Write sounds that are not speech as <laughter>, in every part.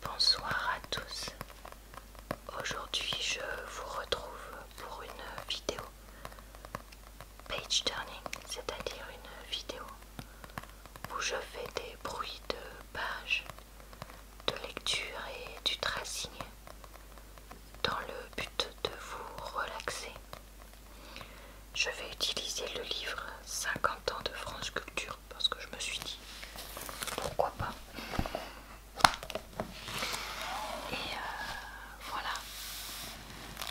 Bonsoir à tous. Aujourd'hui, je vous retrouve pour une vidéo page turning, c'est-à-dire une vidéo où je fais des bruits de pages, de lecture et du tracing dans le but de vous relaxer. Je vais utiliser le livre 50 ans de France Culture parce que je me suis dit pourquoi pas. Et euh, voilà.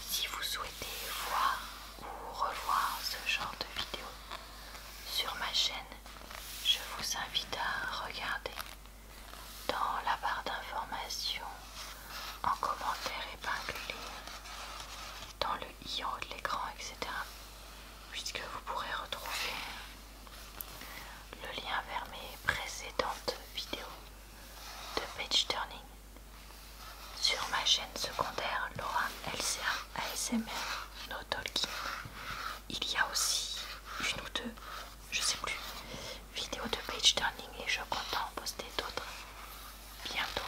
Si vous souhaitez voir ou revoir ce genre de vidéo sur ma chaîne, je vous invite à regarder dans la barre d'informations en commentaire épinglé dans le i en haut de l'écran, etc puisque vous pourrez retrouver le lien vers mes précédentes vidéos de page turning sur ma chaîne secondaire Laura LCA ASMR No Talking. Il y a aussi une ou deux, je sais plus, vidéos de page turning et je compte en poster d'autres bientôt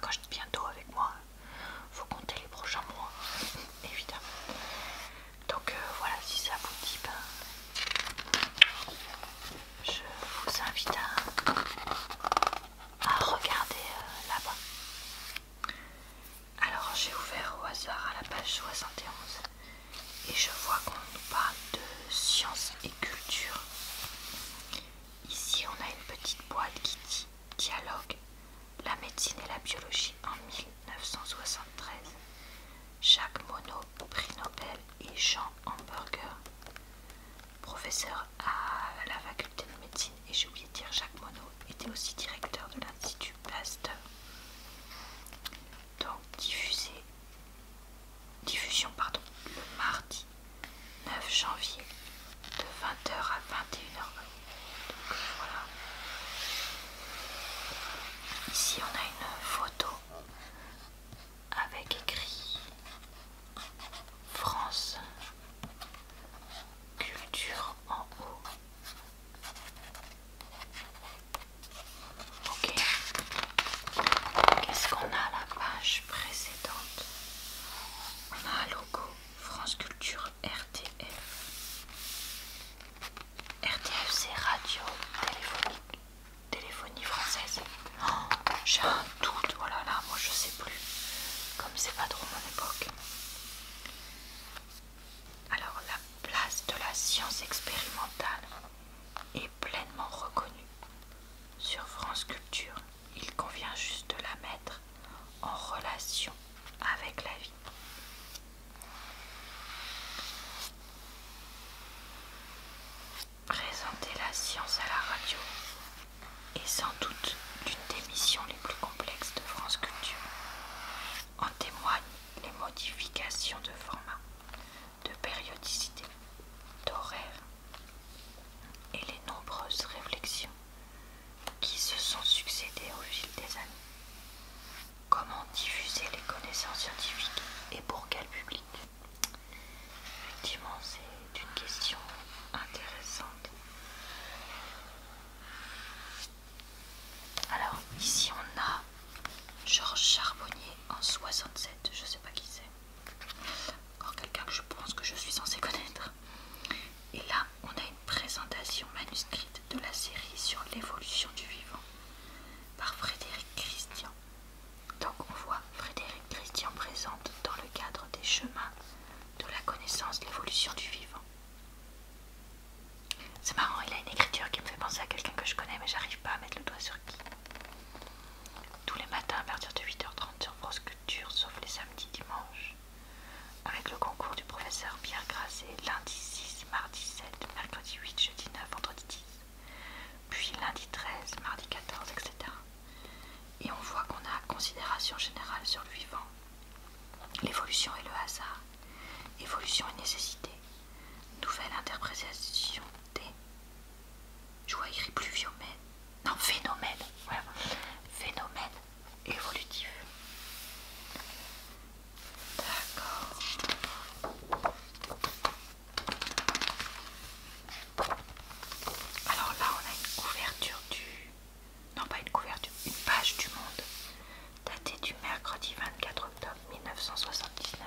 quand je dis bientôt avec moi, faut compter les prochains mois, <laughs> évidemment. Donc euh, voilà, si ça vous dit, ben, je vous invite à, regarder euh, là-bas. Alors j'ai ouvert au hasard à la page 71 et je vois qu'on nous parle de science et culture. Ici on a une petite boîte qui dit Dialogue, La médecine et la biologie en 1973. Jacques Monod, prix Nobel et Jean Hamburger, professeur à la faculté de médecine, et j'ai oublié de dire Jacques Monod était aussi directeur de l'Institut Pasteur. Donc diffusé, diffusion pardon, le mardi 9 janvier de 20h à 21h. Donc voilà. Ici on a une photo avec écrit France Culture en haut. Ok. Qu'est-ce qu'on a à la page précédente On a un logo France Culture RTF. RTF c'est radio téléphonique. Téléphonie française. Oh, j'ai un doute, oh là là, moi je sais plus. Comme c'est pas trop mon époque. Alors la place de la science expérimentale est pleinement reconnue sur France Culture il convient juste de la mettre en relation avec la vie. Présenter la science à la radio est sans doute l'une des missions les plus complexes de France Culture. En témoignent les modifications de format, de périodicité, d'horaire et les nombreuses réflexions qui se sont succédées au fil des années. Comment diffuser les connaissances scientifiques et pour quel public Effectivement, c'est une question intéressante. Alors, ici on a Georges Charbonnier en 67, je sais pas qui c'est. Encore quelqu'un que je pense que je suis censé connaître. Et là, on a une présentation manuscrite de la série sur l'évolution du vivant par Frédéric Christian. Donc on voit Frédéric Christian présente dans le cadre des chemins de la connaissance de l'évolution du vivant. C'est marrant, il a une écriture qui me fait penser à quelqu'un que je connais mais j'arrive pas à mettre le doigt sur qui. Tous les matins à partir de 8h30 sur France sauf les samedis dimanches, avec le concours du professeur Pierre Grasset lundi 6, mardi 7, mercredi 8, jeudi 9, vendredi 10, puis lundi 13, mardi 14, etc. Et on voit qu'on a considération générale sur le vivant, l'évolution et le hasard, évolution et nécessité, nouvelle interprétation des plus pluviomène. Non, phénomène. Voilà. Phénomène évolutif. D'accord. Alors là, on a une couverture du... Non, pas une couverture, une page du monde datée du mercredi 24 octobre 1979.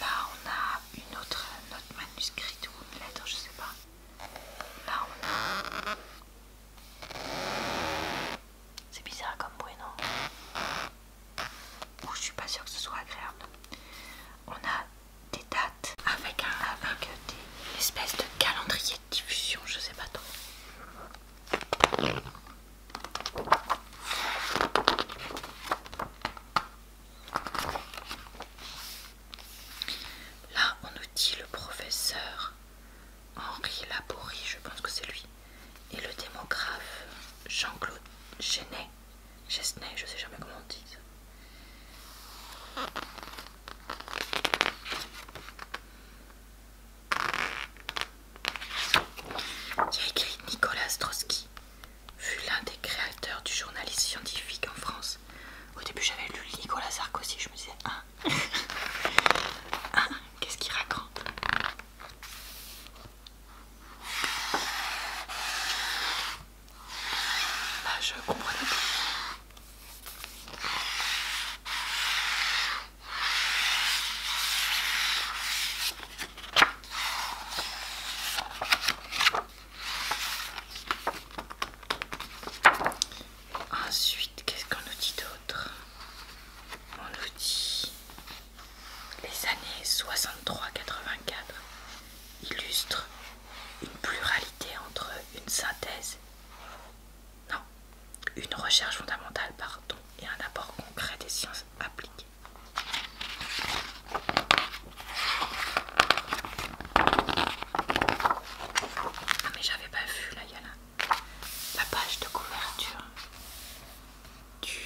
Là, on a une autre, note manuscrit ou une lettre, je sais pas. Là on a... C'est bizarre comme bruit, non ou je suis pas sûre que ce soit agréable. On a des dates avec un avec des, espèces de calendrier de diffusion, je sais pas trop. Là, on nous dit le professeur Henri Laborie, je pense que c'est lui, et le démographe Jean-Claude Genet, Chesnay, je ne sais jamais comment on dit ça. Il y a écrit Nicolas Trotsky, fut l'un des créateurs du journalisme scientifique en France. Au début, j'avais lu Nicolas Sarkozy, je me disais, ah, qu'est-ce qu'il raconte bah, je comprends Ensuite, qu'est-ce qu'on nous dit d'autre On nous dit les années 63-84 illustrent une pluralité entre une synthèse, non, une recherche fondamentale, pardon, et un apport concret des sciences appliquées. Ah, mais j'avais pas vu là, il y a la, la page de couverture du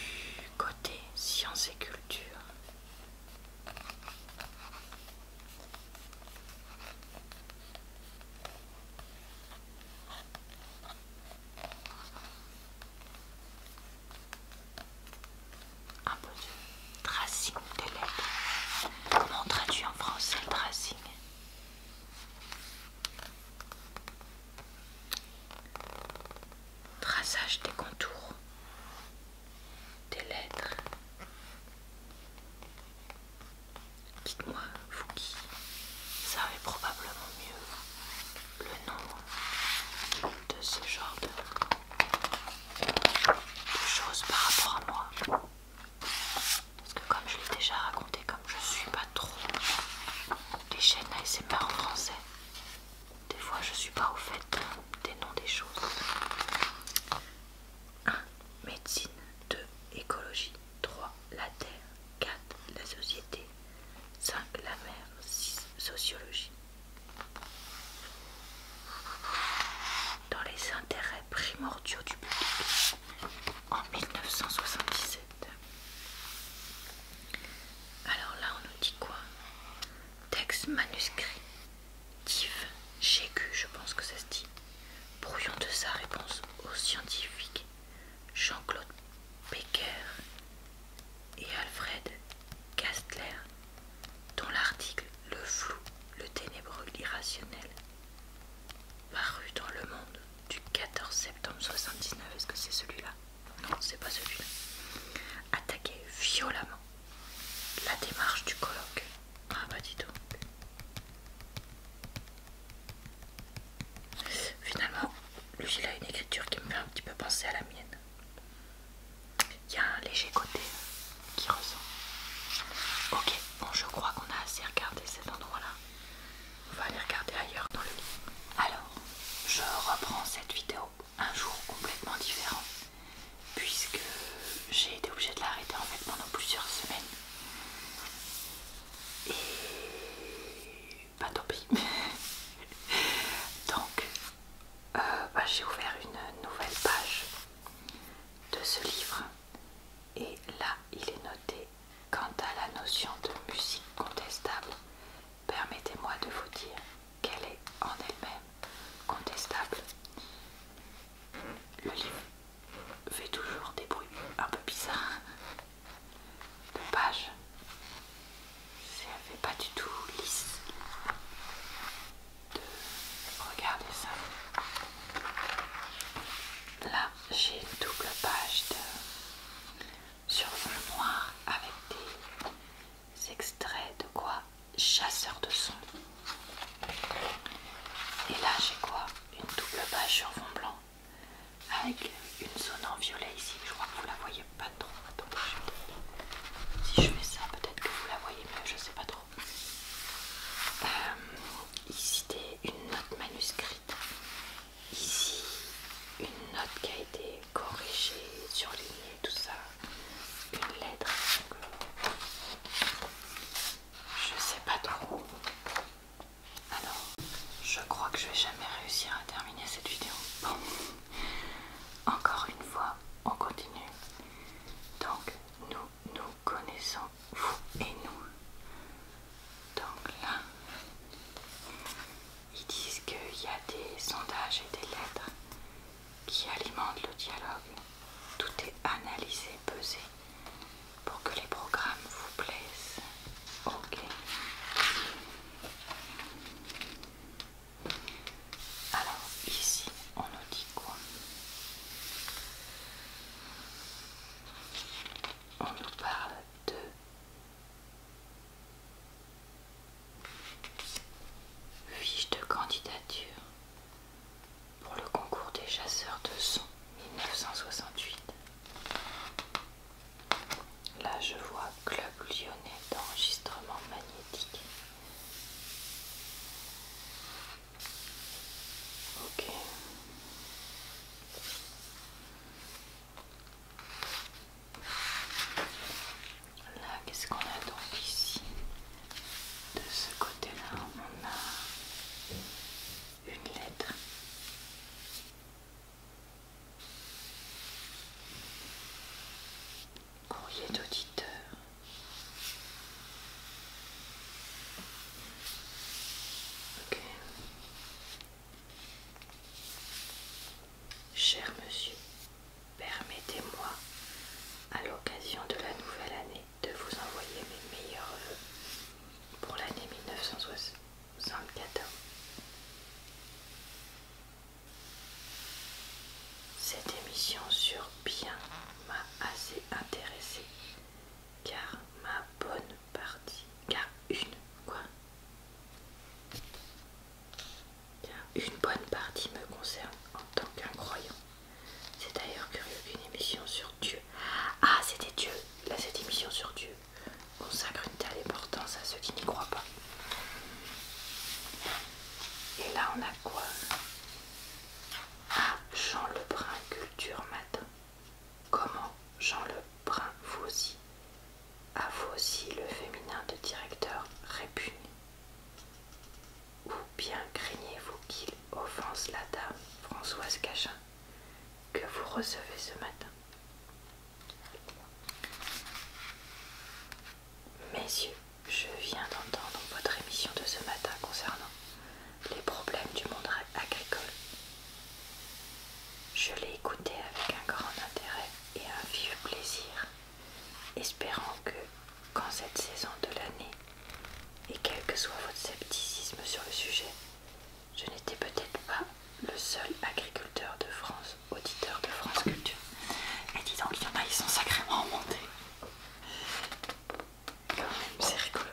côté sciences et culture. Un ah, peu de tracing des lettres. Comment on traduit en français tracing Traçage des contours des lettres. Dites-moi, vous qui savez probablement mieux le nom de ce genre de, choses par rapport à moi. Parce que comme je l'ai déjà raconté, comme je suis pas trop les chaînes pas en français, des fois je suis pas au fait des noms des choses. 1. Médecine 2. Écologie 3. La Terre 4. La société 5. La mer 6. Sociologie dans les intérêts primordiaux du public en 1977. Alors là, on nous dit quoi Texte manuscrit. j'ai Gécu, je pense que ça se dit. Brouillon de sa réponse au scientifique Jean-Claude Becker et Alfred Kastler, dont l'article Le flou, le ténébreux, l'irrationnel paru dans Le Monde du 14 septembre 1979, est-ce que c'est celui-là Non, c'est pas celui-là. Attaquait violemment la démarche du colloque. Ah bah dis donc. Finalement, lui il a une écriture qui me fait un petit peu penser à la mienne. Il y a un léger côté qui ressent. Ok, bon je crois qu'on a assez regardé cet endroit-là. On va aller regarder ailleurs dans le lit. Alors, je reprends cette vidéo un jour complètement différent. Puisque j'ai été obligée de l'arrêter en fait pendant plusieurs semaines. Et... pas tant pis. <laughs> Donc euh, bah, j'ai ouvert une nouvelle page de ce livre et là il est noté quant à la notion de musique contestable permettez-moi de vous dire qu'elle est en elle-même contestable le livre fait toujours des bruits un peu bizarres de pages ça fait pas du tout lisse de regarder ça. Là, j'ai une double page de... sur fond noir avec des extraits de quoi Chasseur de son. Et là, j'ai quoi Une double page sur fond blanc avec une zone en violet ici. Je crois que vous la voyez pas trop. Attendez, je... si je fais ça, peut-être que vous la voyez mais je sais pas trop. Euh, ici, c'était une note manuscrite. Ici, une note qui a été corrigée, surlignée, tout ça. Une lettre. Je sais pas trop. Alors, je crois que je vais jamais réussir à terminer cette vidéo. Bon. Encore une fois, on continue. Donc, nous, nous connaissons vous et nous. Donc là, ils disent qu'il y a des sondages et des lettres qui alimentent le dialogue. Tout est analysé, pesé pour que les programmes vous plaisent. Ok. Alors ici, on nous dit quoi On nous parle de fiche de candidature pour le concours des chasseurs de son 1968. Là, je vois Club Lyonnais d'enregistrement magnétique. Ok. Là, qu'est-ce qu'on a donc ici De ce côté-là, on a une lettre. Courrier d'auditeur. Cher monsieur, permettez-moi, à l'occasion de la nouvelle année, de vous envoyer mes meilleurs vœux pour l'année 1960. Cette émission sur bien m'a assez intéressée car ma bonne partie, car une quoi car une bonne partie me concerne en tant qu'un croyant. C'est d'ailleurs curieux qu'une émission sur Dieu. Ah c'était Dieu, là cette émission sur Dieu consacre une telle importance à ceux qui n'y croient pas. Et là, on a quoi Ah, Jean Lebrun, culture matin. Comment Jean Lebrun vous aussi à vous aussi le féminin de directeur répugné Ou bien craignez-vous qu'il offense la dame Françoise Cachin que vous recevez ce matin Messieurs, je viens d'entendre votre émission de ce matin concernant les problèmes du monde agricole. Je l'ai écoutée avec un grand intérêt et un vif plaisir, espérant que, quand cette saison de l'année, et quel que soit votre scepticisme sur le sujet, je n'étais peut-être pas le seul agriculteur de France, auditeur de France Culture. Et dis donc, il y en a, ils sont sacrément remontés. Quand même, c'est rigolo.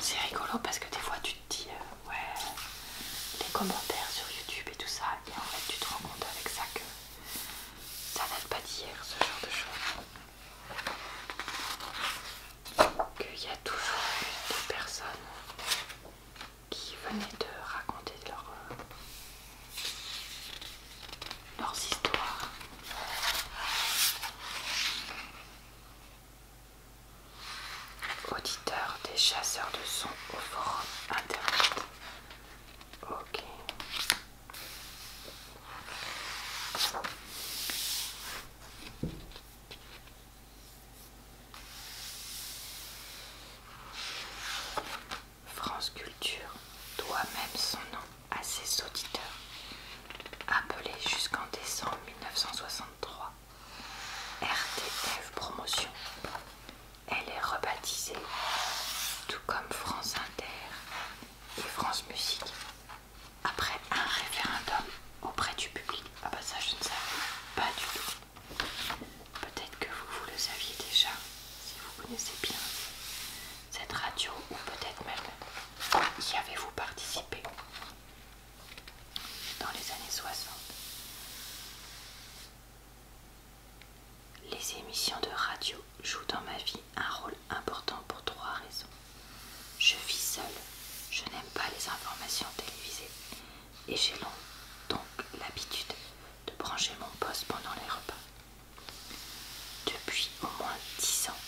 C'est rigolo parce que des fois tu te dis, euh, ouais, les commentaires sur YouTube et tout ça, et en fait tu te rends compte avec ça que ça date pas d'hier, ce genre de choses qu'il y a toujours des personnes qui venaient de raconter euh, leurs histoires. Auditeurs des chasseurs de sons au forum internet. Ok. France Culture doit même son nom à ses auditeurs, Appelée jusqu'en décembre 1963 RTF Promotion. Elle est rebaptisée, tout comme France Inter et France Musique, après un référendum auprès du public. Ah bah ça je ne savais pas du tout. Peut-être que vous, vous le saviez déjà, si vous connaissez bien cette radio, ou peut-être même y avez-vous participé dans les années 60. Les émissions de radio jouent dans ma vie un rôle important pour trois raisons. Je vis seule, je n'aime pas les informations télévisées et j'ai donc l'habitude de brancher mon poste pendant les repas. Depuis au moins dix ans,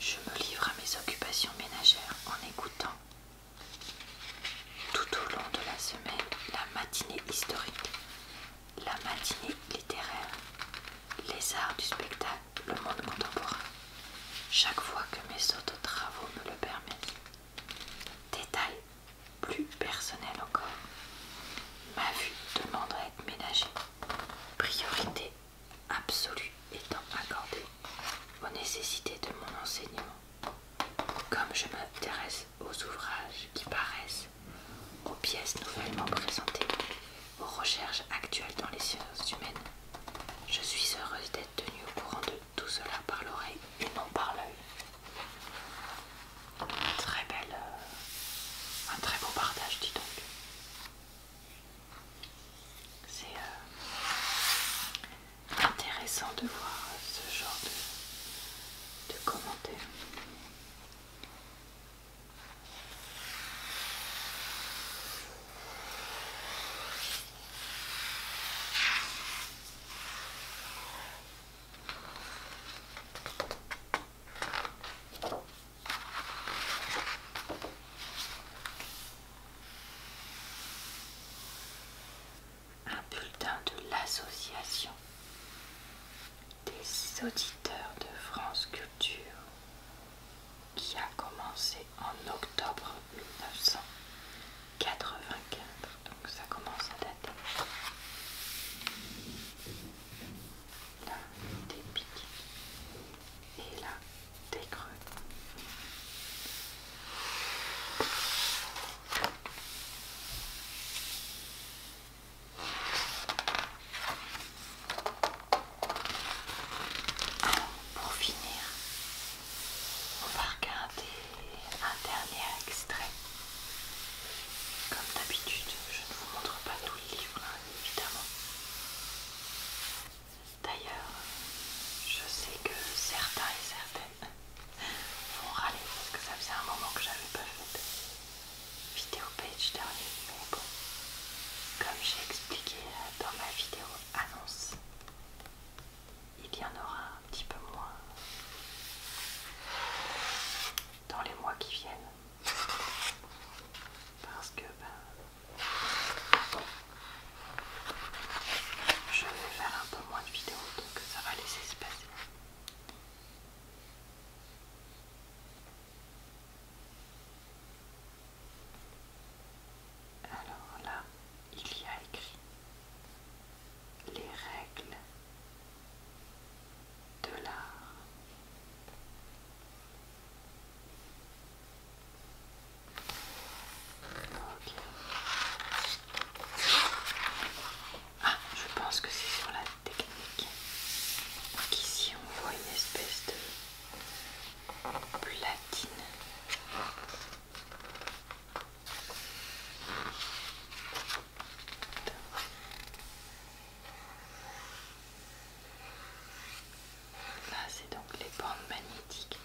je me livre à mes occupations ménagères en écoutant tout au long de la semaine la matinée historique, la matinée littéraire, les arts du spectacle, le monde contemporain, chaque fois que mes travaux me le permettent. Détail plus personnel encore. Ma vue demande à être ménagée. Priorité absolue étant accordée aux nécessités de mon enseignement. Comme je m'intéresse aux ouvrages qui paraissent, aux pièces nouvellement présentées, « Aux recherches actuelles dans les sciences humaines. Je suis heureuse d'être tenue au courant de tout cela par l'oreille et non par l'œil. Très belle. Euh, un très beau partage, dis donc. C'est euh, intéressant de voir ce genre de, de commentaires. Un bulletin de l'association des auditeurs de France Culture qui a commencé en octobre 1984. Donc ça commence à dater. Là, des pics. Et là, des creux pour finir, on va regarder un dernier extrait. Comme d'habitude, je ne vous montre pas tout le livre, hein, évidemment. D'ailleurs, je sais que certains et certaines vont râler parce que ça faisait un moment que j'avais pas fait de vidéo page dernier. Mais bon, comme j'ai expliqué dans ma vidéo annonce, il y en aura un petit peu moins dans les mois qui viennent. Parce que ben, je vais faire un peu moins de vidéos, donc ça va laisser se passer. Alors là, il y a écrit les règles de l'art. Ah, je pense que c'est sur la technique. qu'ici on voit une espèce de platine. Là, c'est donc les bandes magnétiques.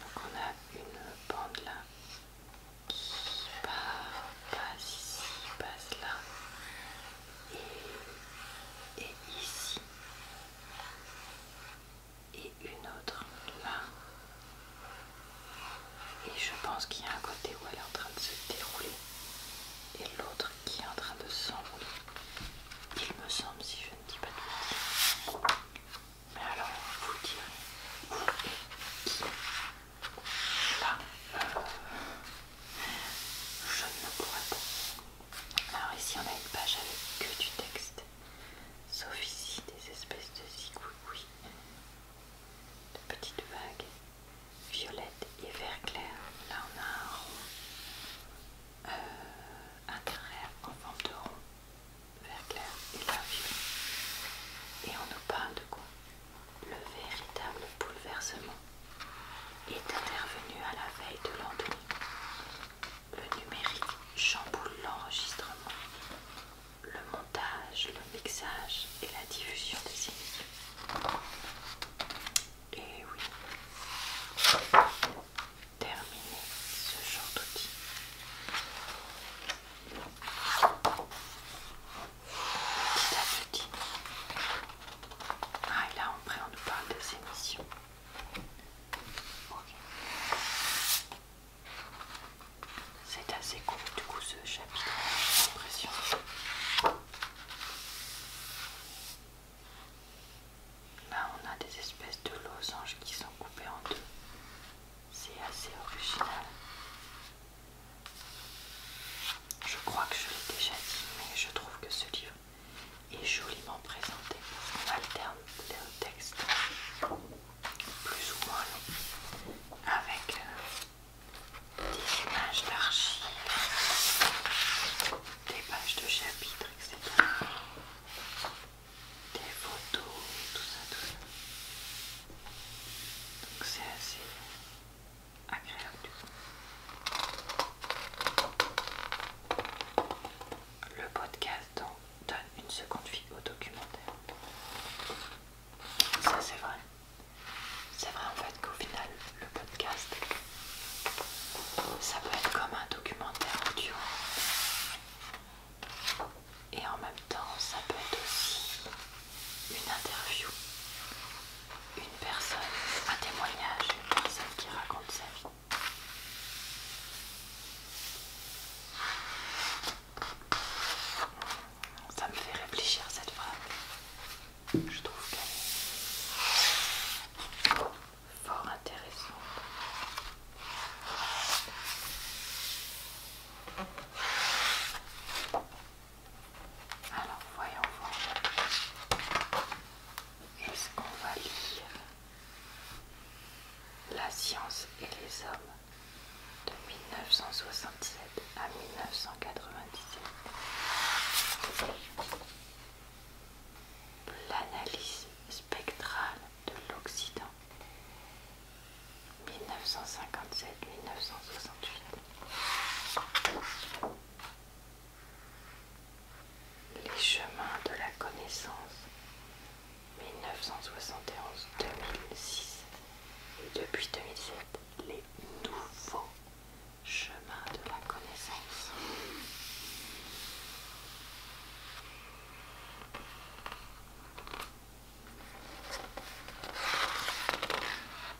Donc, on a une bande là qui part, passe ici, passe là, et, ici et une autre là et je pense qu'il y a un côté où elle est en train de se dérouler et l'autre qui est en train de s'enrouler il me semble si je ne dis pas de bêtises mais alors vous direz là euh, je ne pourrais pas alors ici on a une page avec que du texte, sauf ici des espèces de zigouilles, de petites vagues violettes et vert clair. Là on a un rond, euh, un trait en forme de rond, vert clair et là violet. Et on nous parle de quoi Le véritable bouleversement est intervenu à la veille de l'endroit. Le numérique chamboule l'enregistrement, le montage, le mixage et la diffusion des émissions. Et oui, terminé ce genre d'outil, ah, et là, après, on nous parle de émissions. missions. C'est assez cool du coup, ce chapitre, j'ai l'impression. Là, on a des espèces de losanges qui sont coupés en deux. C'est assez original. Je crois que je l'ai déjà dit, mais je trouve que ce livre est joliment présenté parce qu'on alterne les textes plus ou moins longs avec euh, des images d'archives, des pages de chapitres, etc. Des photos, tout ça, tout ça. Donc c'est assez le podcast donne une seconde vie au documentaire. Ça c'est vrai. C'est vrai en fait qu'au final le podcast ça peut être comme un documentaire audio et en même temps ça peut être aussi une interview une personne, un témoignage, une personne qui raconte sa vie. Ça me fait réfléchir cette phrase. Je trouve qu'elle est fort intéressante. Alors voyons voir. Est-ce qu'on va lire La science et les hommes de 1967 à 1997 L'analyse spectrale de l'Occident 1957-1968 les chemins de la connaissance 1971-2006 et depuis 2007 les nouveaux chemins de la connaissance.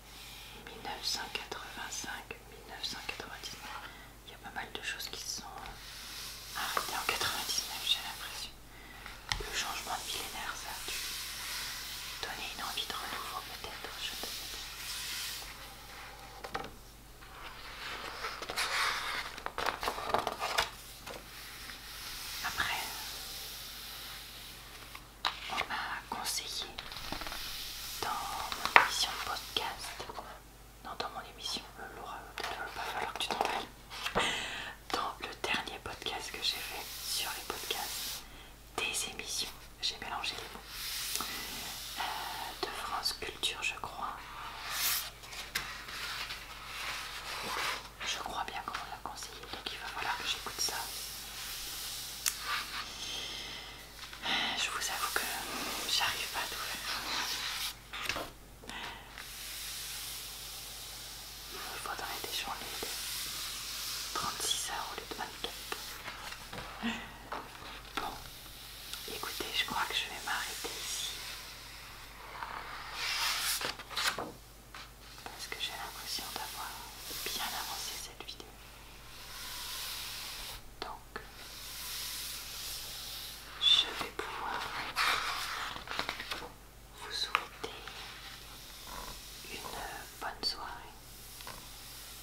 1985, 1999. Il y a pas mal de choses qui se sont euh, arrêtées en 99, j'ai l'impression. Le changement de millénaire, ça a dû donner une envie de renouveau, peut-être. Je ne Après, on m'a conseillé dans mon émission de podcast, non dans mon émission, euh, Laura, euh, peut-être pas euh, falloir que tu t'en rappelles <laughs> dans le dernier podcast que j'ai fait sur les podcasts des émissions, j'ai mélangé les mots, de France Culture je crois, je crois bien qu'on m'a conseillé, donc il va falloir que j'écoute ça. Je vous avoue que j'arrive pas à tout faire. Il des journées de 36 heures au lieu de 24. Bon, écoutez, je crois que je vais m'arrêter ici. Parce que j'ai l'impression d'avoir bien avancé cette vidéo. Donc, je vais pouvoir vous souhaiter une bonne soirée,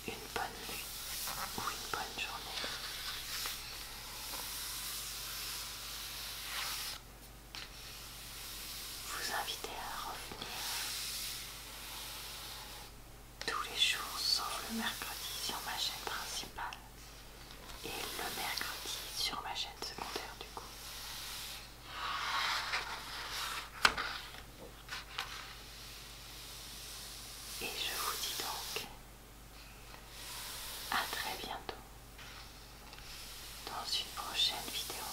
une bonne nuit ou une bonne journée. Vous inviter à revenir tous les jours sauf le mercredi sur ma chaîne principale et le mercredi sur ma chaîne secondaire du coup. Et je vous dis donc à très bientôt dans une prochaine vidéo.